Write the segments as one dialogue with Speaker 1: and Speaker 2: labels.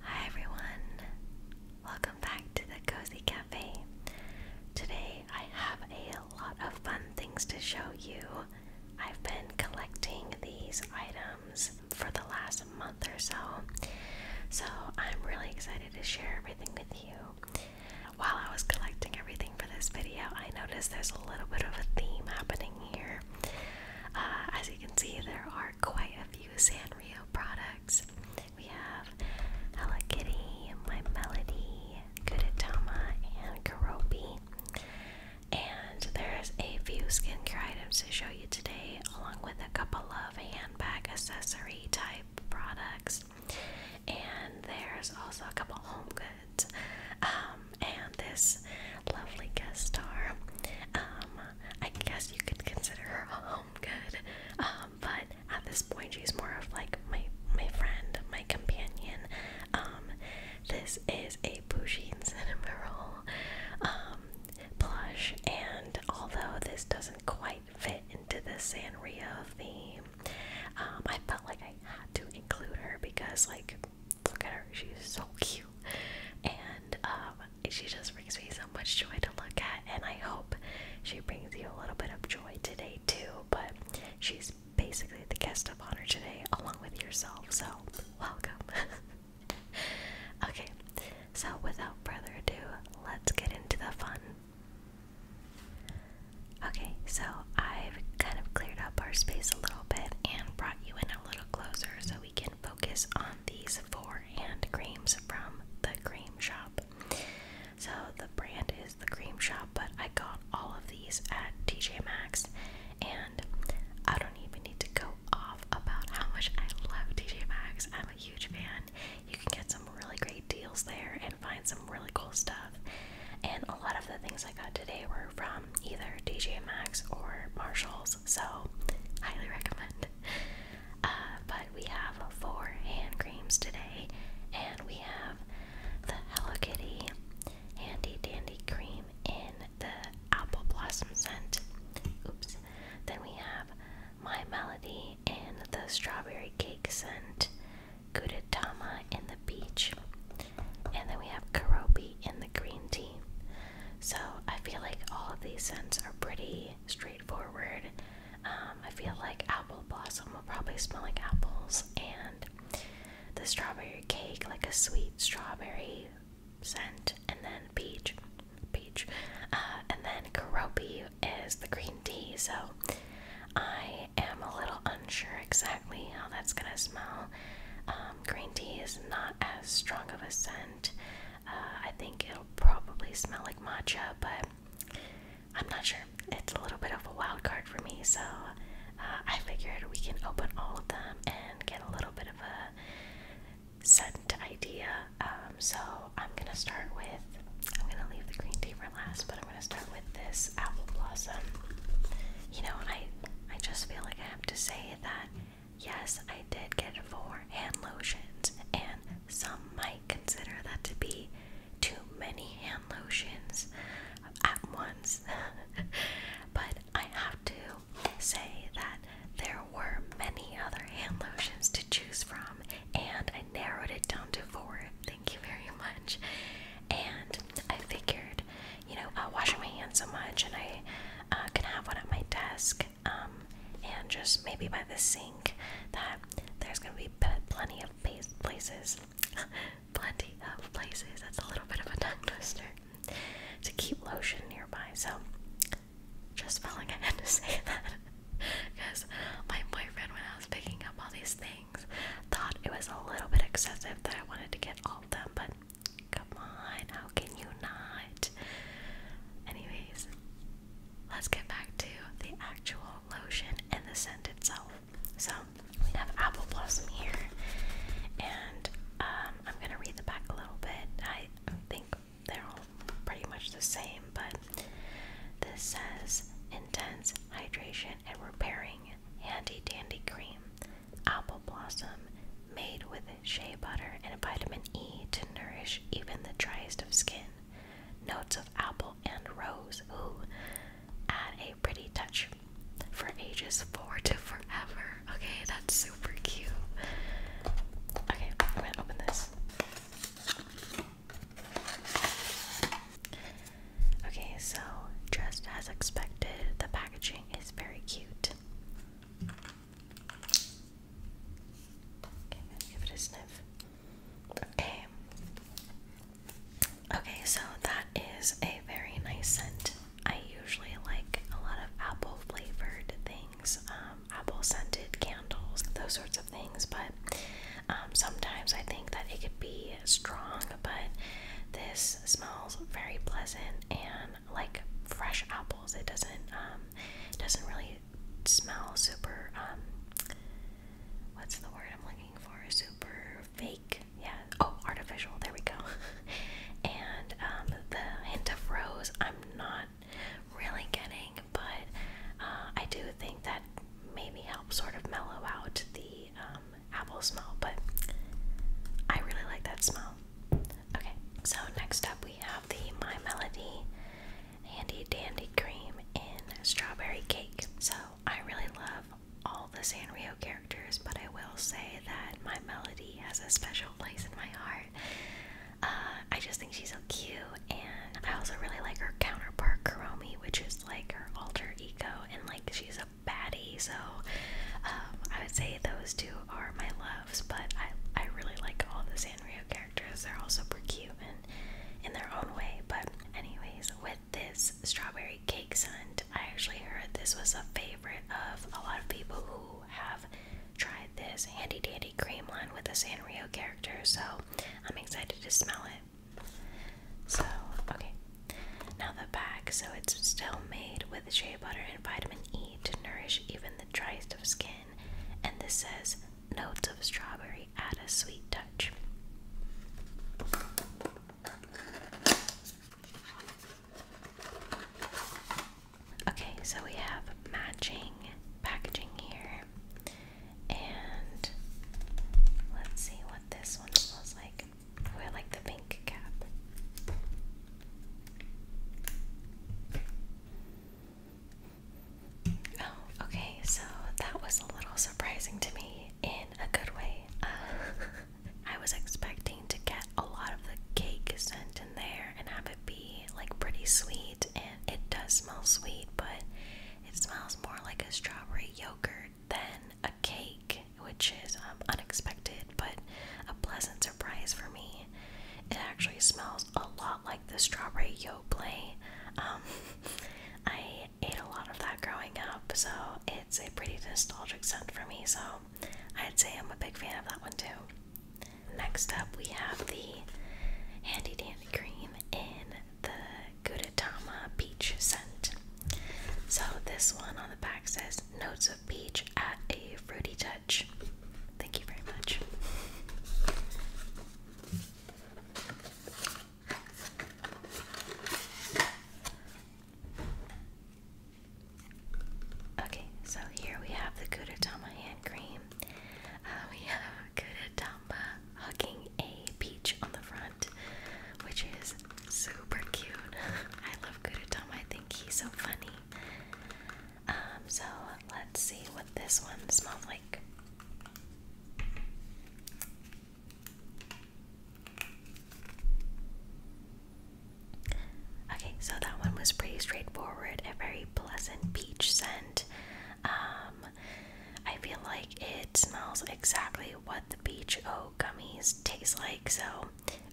Speaker 1: Hi everyone, welcome back to the Cozy Cafe. Today I have a lot of fun things to show you. I've been collecting these items for the last month or so, so I'm really excited to share everything with you. While I was collecting everything for this video, I noticed there's a little bit of a theme happening here. Uh, as you can see, there are quite a few Sanrio products. We have Hello Kitty, My Melody, Kudetama, and Karopi. And there's a few skincare items to show you today, along with a couple of handbag accessory type products. And there's also a couple home goods. Um, and this lovely guest star. Um, I guess you could consider her a home good. Um, but at this point, she's more of like my my friend, my companion. Um, this is a Pusheen cinema roll um, plush, and although this doesn't quite fit into the Sanrio theme, I felt like I had to include her because like Look at her, she's so cute. And um, she just brings me so much joy to look at, and I hope she brings you a little bit of joy today too. But she's basically the guest of honor today, along with yourself, so welcome. okay, so without further ado, let's get into the fun. Okay, so I've kind of cleared up our space a little bit and brought you in a little closer so we can focus on these four hand creams from the cream shop. So the brand is the cream shop, but I got all of these at TJ Maxx and I don't even need to go off about how much I love TJ Maxx. I'm a huge fan. You can get some really great deals there and find some really cool stuff. And a lot of the things I got today were from um, either DJ Max or Marshalls, so highly recommend. Uh, but we have four hand creams today, and we have the Hello Kitty Handy Dandy Cream in the Apple Blossom scent. Oops. Then we have My Melody in the Strawberry Cake scent, Gudetama in the Peach, and then we have Karobe in the Green Tea. So I feel like all of these scents are pretty straightforward. Um, I feel like apple blossom will probably smell like apples, and the strawberry cake, like a sweet strawberry scent, and then peach, peach, uh, and then karopi is the green tea. So I am a little unsure exactly how that's gonna smell. Um, green tea is not as strong of a scent. Uh, I think it'll probably smell like matcha, but I'm not sure. It's a little bit of a wild card for me, so uh, I figured we can open all of them and get a little bit of a scent idea. Um, so I'm gonna start with. I'm gonna leave the green tea for last, but I'm gonna start with this apple blossom. You know, I I just feel like I have to say that Yes, I did get four hand lotions, and some might consider that to be too many hand lotions at once. but I have to say that there were many other hand lotions to choose from, and I narrowed it down to four. Thank you very much. And I figured you know, uh, washing my hands so much, and I uh, can have one at my desk, um, and just maybe by the sink. That there's gonna be plenty of places, plenty of places. That's a little bit of a tongue twister to keep lotion nearby. So, just felt like I had to say that because my boyfriend, when I was picking up all these things, thought it was a little bit excessive that I wanted to get all of them, but Come on, how can you not? Anyways, let's get back to the actual lotion and the scent itself. So, we have Apple Blossom here, and um, I'm gonna read the back a little bit. I think they're all pretty much the same, but this says intense hydration and repairing handy dandy cream apple blossom made with shea butter and vitamin E to nourish even the driest of skin. Notes of apple and rose, ooh, add a pretty touch for ages four to forever. Okay, that's super cute. Okay, I'm gonna open this. Okay, so just as expected, the packaging it's very cute. give it a sniff. Okay. Okay, so that is a very nice scent. I usually like a lot of apple flavored things, um, apple scented candles, those sorts of things, but um, sometimes I think that it could be strong, but this smells very pleasant and like fresh apples. It doesn't um it doesn't really smell super um what's the word I'm looking for? Super fake. Yeah. Oh, artificial. There we go. and um the hint of rose I'm not really getting, but uh I do think that maybe helps sort of mellow out the um apple smell, but I really like that smell. Okay, so next up we have the My Melody Handy Dandy Cream in Strawberry Cake. So I really love all the Sanrio characters, but I will say that My Melody has a special place in my heart. Uh, I just think she's so cute, and I also really like her counterpart Kuromi, which is like her alter ego, and like she's a a baddie, so um, I would say those two are my loves. But I, I really like all the Sanrio characters. They're all super cute and in their own way. But anyways, with this strawberry cakes hunt, I actually heard this was a favorite of a lot of people who have tried this handy dandy cream one with a Sanrio character. So I'm excited to smell it. So okay, now the back, so it's still made with shea butter and vitamin E to nourish even the driest of skin. And this says notes of strawberry add a sweet touch. Okay, so we have matching packaging here. And let's see what this one smells like. Oh, I like the pink cap. Oh, okay, so that was a little surprising to me in a good way. Uh, I was expecting to get a lot of the cake scent in there and have it be like pretty sweet, and it does smell sweet, but it smells more like a strawberry yogurt than a cake which is um, unexpected but a pleasant surprise for me. It actually smells a lot like the strawberry yoplait. Um, I ate a lot of that growing up, so it's a pretty nostalgic scent for me. So I'd say I'm a big fan of that one too. Next up, we have the Handy Dandy Cream in the Gudetama Peach scent. So this one on the back says notes of peach at a fruity touch. Thank you very much. Okay, so here we have the Kudetama hand cream. Uh, we have Kudetama hugging a peach on the front which is super cute. I love Kudatan, I think he's so funny. Um, so let's see what this one smells like. Okay, so that one was pretty straightforward, a very pleasant peach scent. Um, I feel like it smells exactly what the peach oat gummies taste like, so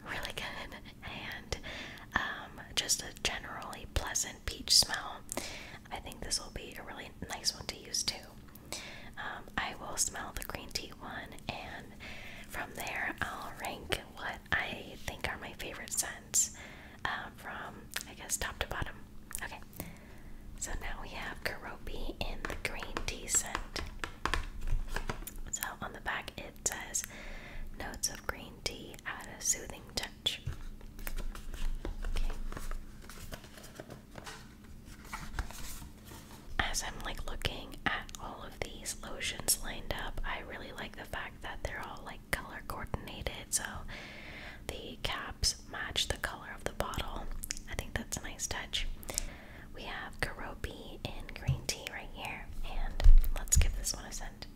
Speaker 1: really good. And um, just a generally pleasant peach smell. I think this will be a really nice one to use too. Um, I will smell the green tea one, and from there, I'll rank what I think are my favorite scents uh, from, I guess, top to bottom. Okay, so now we have Karopi in the green tea scent. So on the back it says notes of green tea add a soothing touch. As I'm like looking at all of these lotions lined up, I really like the fact that they're all like color coordinated, so the caps match the color of the bottle. I think that's a nice touch. We have Karopi in green tea right here, and let's give this one a scent.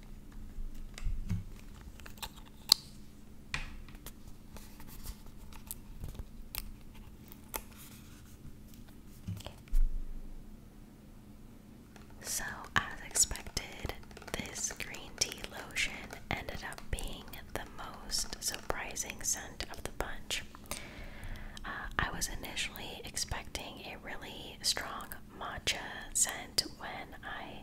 Speaker 1: So, as expected, this green tea lotion ended up being the most surprising scent of the bunch. I was initially expecting a really strong matcha scent when I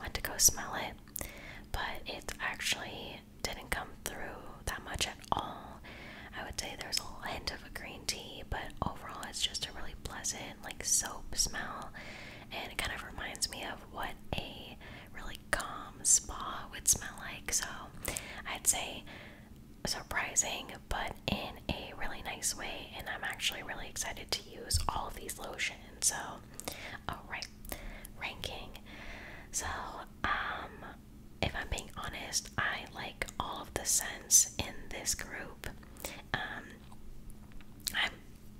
Speaker 1: went to go smell it, but it actually didn't come through that much at all. I would say there's a hint of a green tea, but overall it's just a really pleasant, like soap smell, and it kind of reminds me of what a really calm spa would smell like. So I'd say surprising, but in a really nice way. And I'm actually really excited to use all of these lotions. So, oh, ranking. So, um, if I'm being honest, I like all of the scents in this group. Um, I'm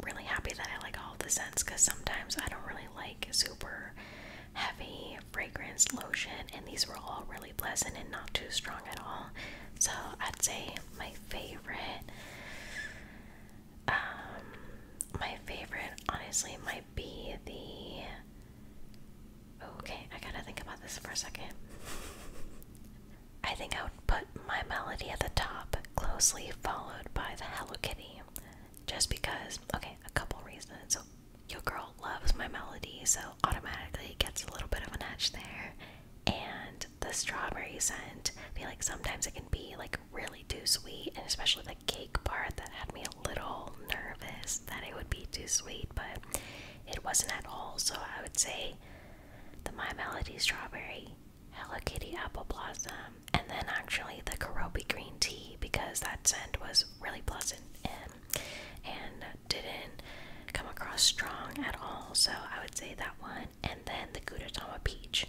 Speaker 1: really happy that I like all of the scents because sometimes I don't really like super heavy fragrance lotion, and these were all really pleasant and not too strong at all. So I'd say my favorite, um, my favorite, honestly, might be the. Okay, I gotta think about this for a second. I think I would put my melody at the top, closely followed by the Hello Kitty. Just because, okay, a couple reasons. Your girl loves my melody, so automatically it gets a little bit of an edge there. And the strawberry scent, I feel like sometimes it can be like really too sweet, and especially the cake part that had me a little nervous that it would be too sweet, but it wasn't at all. So I would say the My Melody strawberry, Hello Kitty apple blossom, and then actually the Karobi green tea because that scent was really pleasant um, and, didn't come across strong at all. So I would say that one, and then the Gudetama peach.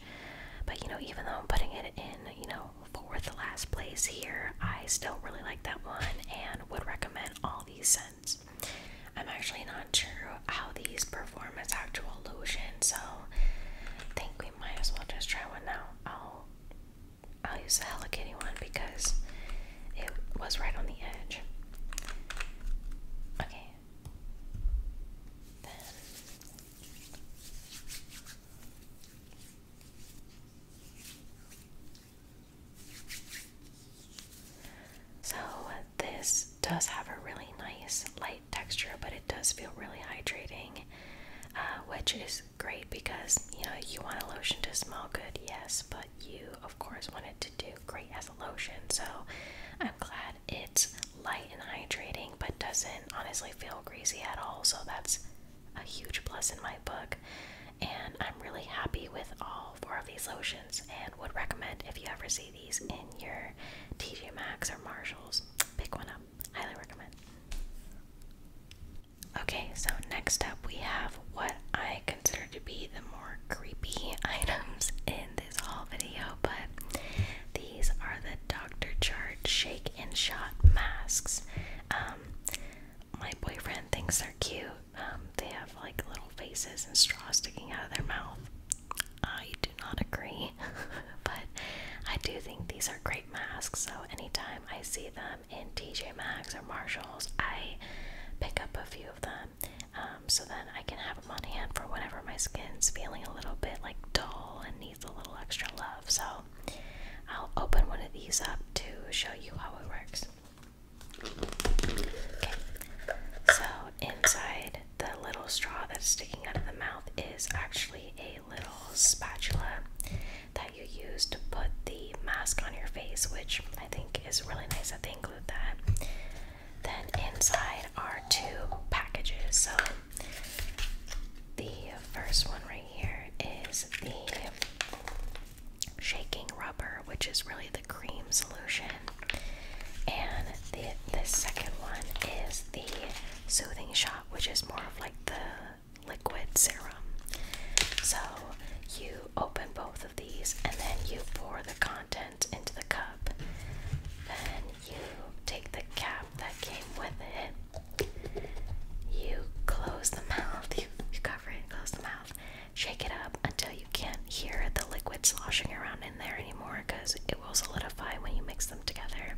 Speaker 1: But you know, even though I'm putting it in, you know, for the last place here, I still really like that one and would recommend all these scents. I'm actually not sure how these perform as actual lotion, so I think we might as well just try one now. I'll use the helicini one because it was right on the edge. Okay. Then. So this does have a really nice light texture, but it does feel really hydrating, uh, which is great because you know you want a lotion to smell good, yes, but you of course want it to do great as a lotion. So I'm glad it's light and hydrating, but doesn't honestly feel greasy at all. So that's a huge plus in my book, and I'm really happy with all four of these lotions, and would recommend if you ever see these in your TJ Maxx or Marshalls, pick one up. Highly recommend. Okay, so next up we have what I consider to be the more creepy items in this haul video, but these are the Dr. Chart Shake and Shot masks. Um, my boyfriend thinks they're cute. Um, they have like little faces and straws sticking out of their mouth. I do not agree, but I do think these are great masks. So anytime I see them in TJ Maxx or Marshalls, I pick up a few of them um, so then I can have them on hand for whenever my skin's feeling a little bit like dull and needs a little extra love. So I'll open one of these up to show you how it works. Okay, so inside the little straw that's sticking out of the mouth is actually a little spatula that you use to put the mask on your face, which I think is really nice that they include that. Then inside are two packages. So the first one right here is the shaking rubber, which is really the cream solution. And the, second one is the soothing shot, which is more of like the liquid serum. So you open both of these and then you pour the content into the cup. Then you take the cap that came with it. You close the mouth, you, cover it close the mouth. Shake it up until you can't hear the liquid sloshing around in there anymore because it will solidify when you mix them together.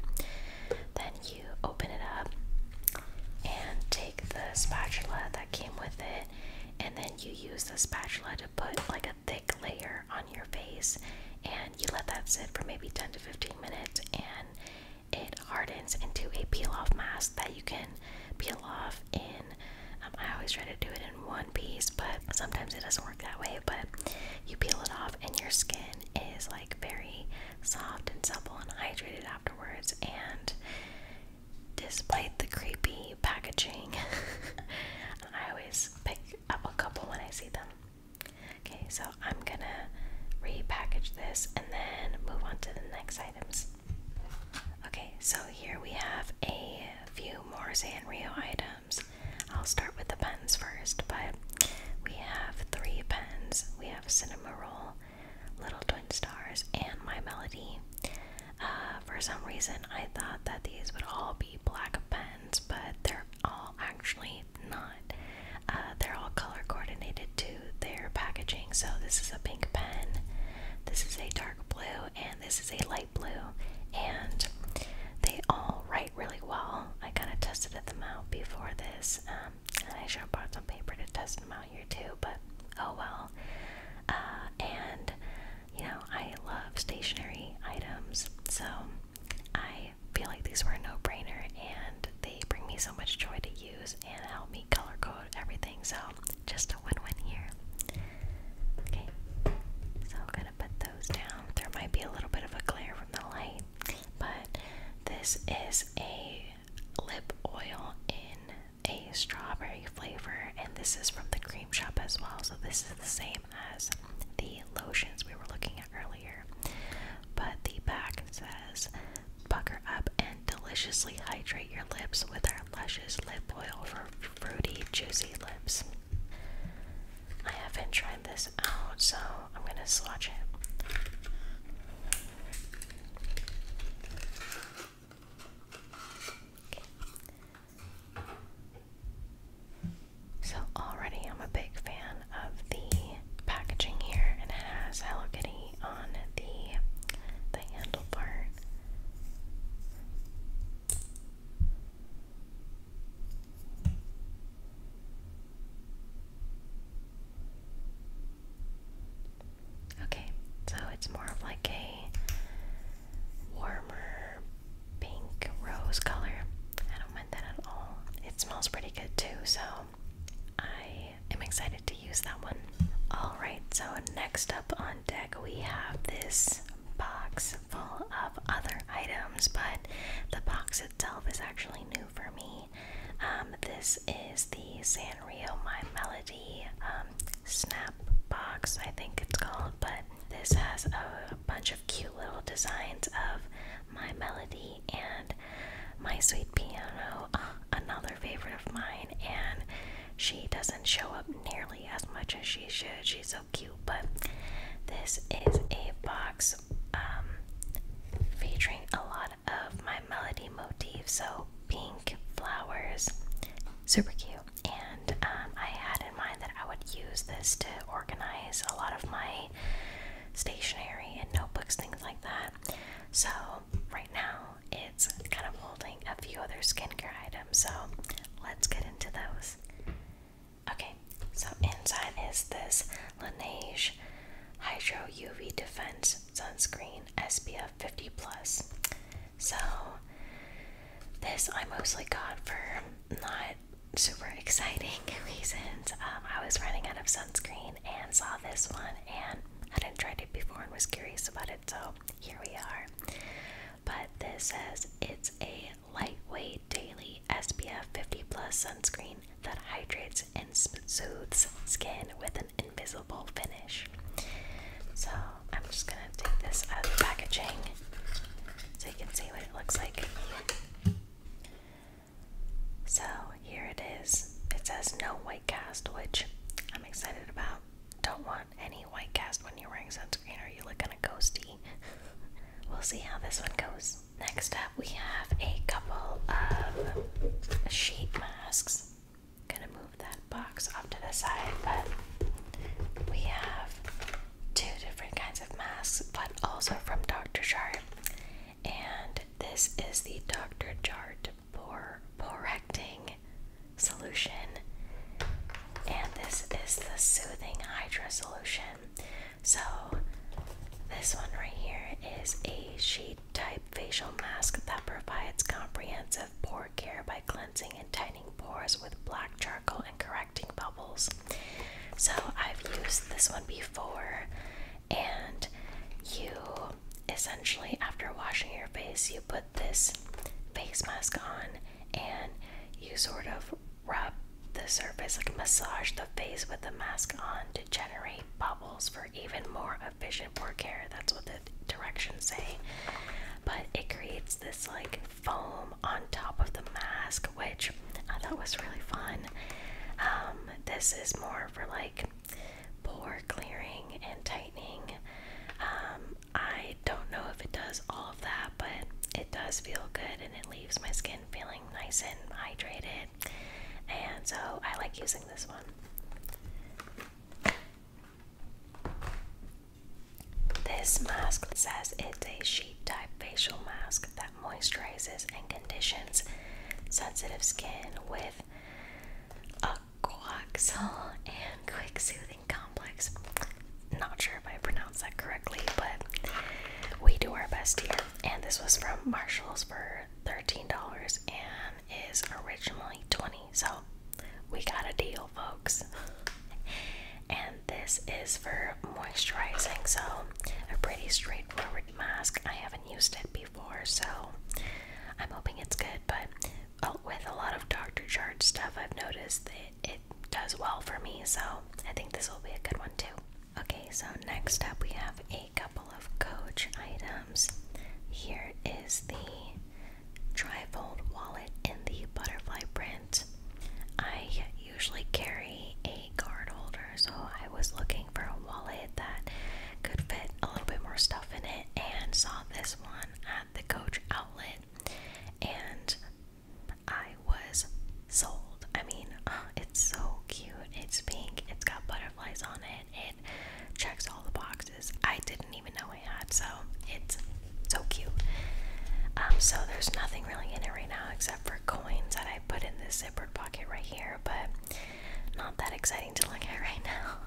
Speaker 1: Then you you open it up and take the spatula that came with it, and then you use the spatula to put like a thick layer on your face, and you let that sit for maybe 10 to 15 minutes, and it hardens into a peel off mask that you can peel off in. Um, I always try to do it in one piece, but sometimes it doesn't work that way. But you peel it off, and your skin is like very soft and supple and hydrated afterwards, and displayed the creepy packaging. I always pick up a couple when I see them. Okay, so I'm gonna repackage this and then move on to the next items. Okay, so here we have a few more Sanrio items. I'll start with the pens first, but we have three pens. We have. Cinema Roll, Little Twin Stars, and My Melody. Uh, for some reason, I thought that these would all be black pens, but they're all actually not. Uh, they're all color coordinated to their packaging. So, this is a pink pen, this is a dark blue, and this is a light blue. And they all write really well. I kind of tested them out before this. Um, and I should have brought some paper to test them out here too, but oh well. Uh, and, you know, I love stationary items, so I feel like these were a no brainer and they bring me so much joy to use and help me color code everything, so just a win win here. Okay, so I'm gonna put those down. There might be a little bit of a glare from the light, but this is a lip oil in a strawberry flavor, and this is from the cream shop as well. So, this is the same as the lotions we were looking at earlier. But the back says, Pucker up and deliciously hydrate your lips with our luscious lip oil for fruity, juicy lips. I haven't tried this out, so I'm gonna swatch it. So already I'm a big fan of the packaging here and it has Hello Kitty on the the handle part. Okay, so it's more of like a warmer pink rose color. I don't mind that at all. It smells pretty good too, so I am excited to use that one. Alright, so next up on deck we have this box full of other items, but the box box is actually new for me. Um, this is the Sanrio My Melody um, Snap Box, I think it's called, but this has a bunch of cute little designs of My Melody and My Sweet Piano, uh, another favorite of mine, and she doesn't show up nearly as much as she should. She's so cute, but this is a box um, featuring a lot of my melody motifs, so pink flowers, super cute. And um, I had in mind that I would use this to organize a lot of my stationery and notebooks, things like that. So right now it's kind of holding a few other skincare items, so let's get into those. Okay, so inside is this Laneige Hydro UV Defense Sunscreen SPF 50 Plus. So, this I mostly got for not super exciting reasons. Um, I was running out of sunscreen and saw this one, and I didn't tried it before and was curious about it, so here we are. But this says it's a lightweight daily SPF 50 plus sunscreen that hydrates and soothes skin with an invisible finish. So I'm just gonna take this out of the packaging so you can see what it looks like. So here it is. It says no white cast, which I'm excited about. Don't want any white cast when you're wearing sunscreen or you look kind of ghosty. we'll see how this one goes. Next up, we have a couple of sheet masks. I'm gonna move that box off to the side, but we have two different kinds of masks, but also from Dr. Chart. And this is the Dr. Chart pore Borecting Solution, and this is the Soothing Hydra Solution. So, this one right here is a sheet type facial mask that provides comprehensive pore care by cleansing and tightening pores with black charcoal and correcting bubbles. So, I've used this one before, and you essentially, after washing your face, you put this face mask on and you sort of Rub the surface, like massage the face with the mask on to generate bubbles for even more efficient pore care. That's what the directions say. But it creates this like foam on top of the mask, which I thought was really fun. Um, this is more for like pore clearing and tightening. Um, I don't know if it does all of that but it does feel good and it leaves my skin feeling nice and hydrated. And so I like using this one. This mask says it's a sheet type facial mask that moisturizes and conditions sensitive skin with a coaxal and quick soothing complex. Not sure if I pronounced that correctly, but we do our best here. And this was from Marshalls for $13 and is originally 20 So we got a deal, folks. and this is for moisturizing, so a pretty straightforward mask. I haven't used it before, so I'm hoping it's good, but oh, with a lot of Dr. Chart stuff, I've noticed that it does well for me, so I think this will be a good one too. Okay, so next up we have a couple of Coach items. Here is the fold wallet in the butterfly print. I usually carry a card holder, so I was looking for a wallet that could fit a little bit more stuff in it and saw this one at the Coach outlet. And I was sold. I mean, uh, it's so cute. It's pink. It's got butterflies on it. It checks all the boxes. I didn't even know I had, so it's so cute. Um, so there's nothing really in it right now except for coins that I put in this zipper pocket right here, but not that exciting to look at right now.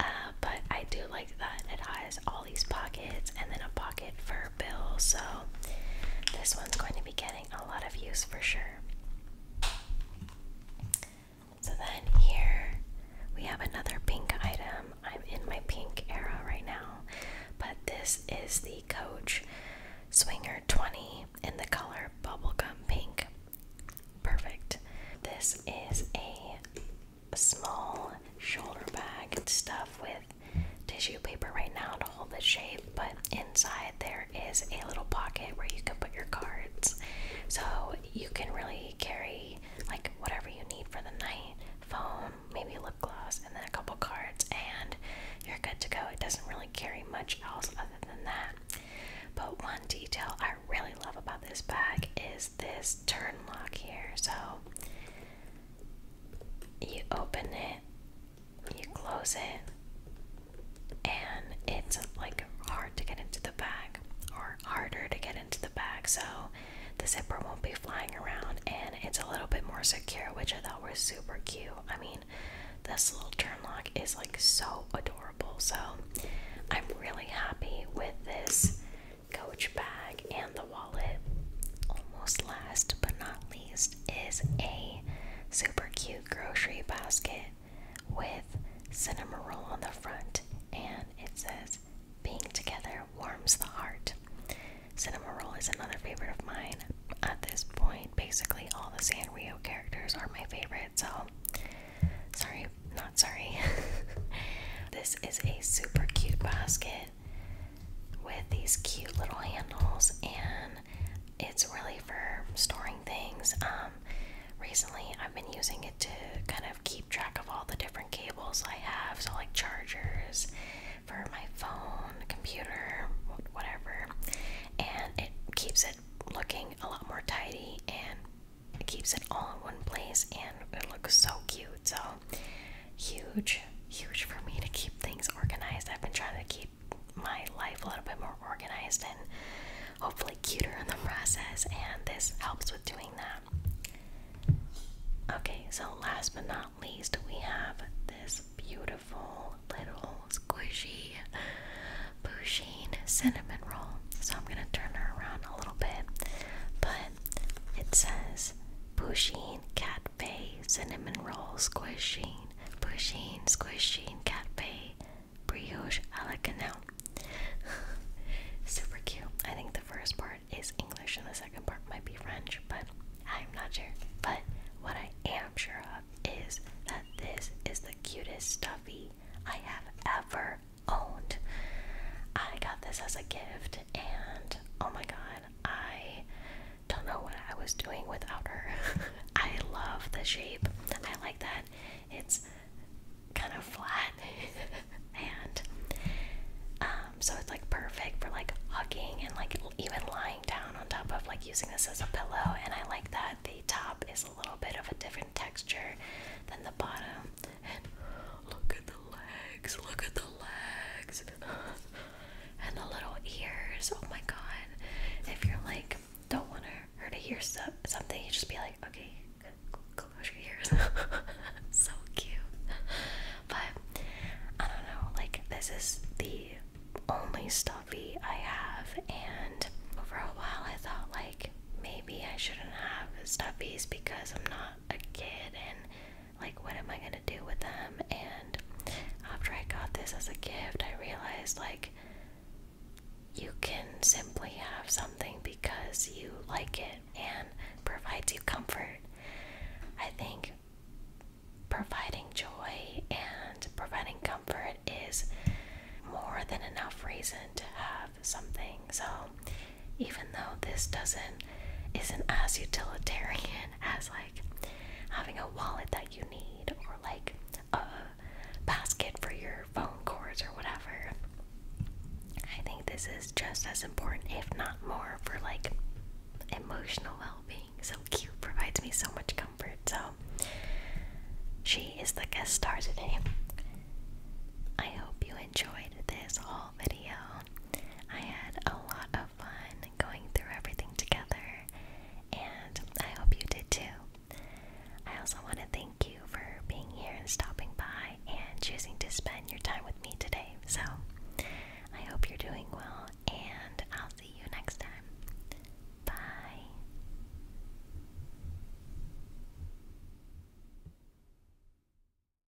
Speaker 1: Uh, but I do like that it has all these pockets and then a pocket for bill, so this one's going to be getting a lot of use for sure. So then here we have another pink item. I'm in my pink era right now, but this is the Coach Swinger 20 in the color bubblegum pink. Perfect. This is a small shoulder bag stuffed with tissue paper right now to hold the shape, but inside there is a little pocket where you can put your cards. So you can really carry like whatever you need for the night phone, maybe lip gloss, and then a couple cards, and you're good to go. It doesn't really carry much else other than that. But one detail I really love about this bag is this turn lock here. So you open it, you close it, and it's like hard to get into the bag or harder to get into the bag so the zipper won't be flying around and it's a little bit more secure, which I thought was super cute. I mean, this little turn lock is like so adorable. So I'm really happy with this coach bag and the wallet. Almost last but not least is a super cute grocery basket with cinnamon roll on the front and it says being together warms the heart. Cinnamon roll is another favorite of mine. At this point, basically all the Sanrio characters are my favorite, so sorry, not sorry. this is a super cute basket with these cute little handles, and it's really for storing things. Um, recently, I've been using it to kind of keep track of all the different cables I have, so like chargers for my phone, computer, whatever, and it keeps it looking a lot more tidy and keeps it all in one place and it looks so cute so huge, huge for me to keep things organized. I've been trying to keep my life a little bit more organized and hopefully cuter in the process, and this helps with doing that. Okay, so last but not least, we have this beautiful little squishy Bouchine cinnamon roll. So I'm gonna turn her around a little bit, but it says Bouchine Cat Bay cinnamon roll, squishing, squishy, cat cafe, brioche a la canal. Super cute. I think the first part is English and the second part might be French, but I'm not sure. But what I am sure of is that this is the cutest stuffy I have ever owned. I got this as a gift and oh my god, I don't know what I was doing without her. I love the shape. I like that it's kind of flat and um, so it's like perfect for like hugging and like even lying down on top of like using this as a pillow. And I like that the top is a little bit of a different texture than the bottom. look at legs. Look at the legs. and the little ears. Oh my god. If you're like, don't want her to hear so something, you just be like, okay, close your ears. so cute. But I don't know. Like, this is the only stuffy I have, and for a while I thought, like, maybe I shouldn't have stuffies because I'm not a kid and like what am I gonna do with them? And after I got this as a gift, I realized like you can simply have something because you like it and provides you comfort. I think providing joy and providing comfort is more than enough reason to have something. So even though this doesn't isn't as utilitarian as like having a wallet that you need or like a basket for your phone cords or whatever. I think this is just as important, if not more, for like emotional well-being. So cute provides me so much comfort. So she is the guest star today. I hope you enjoyed this whole video. I had a lot of fun going through everything together, and I hope you did too. I also want to thank you for being here and stopping by and choosing to spend your time with me today. So, I hope you're doing well, and I'll see you next time. Bye.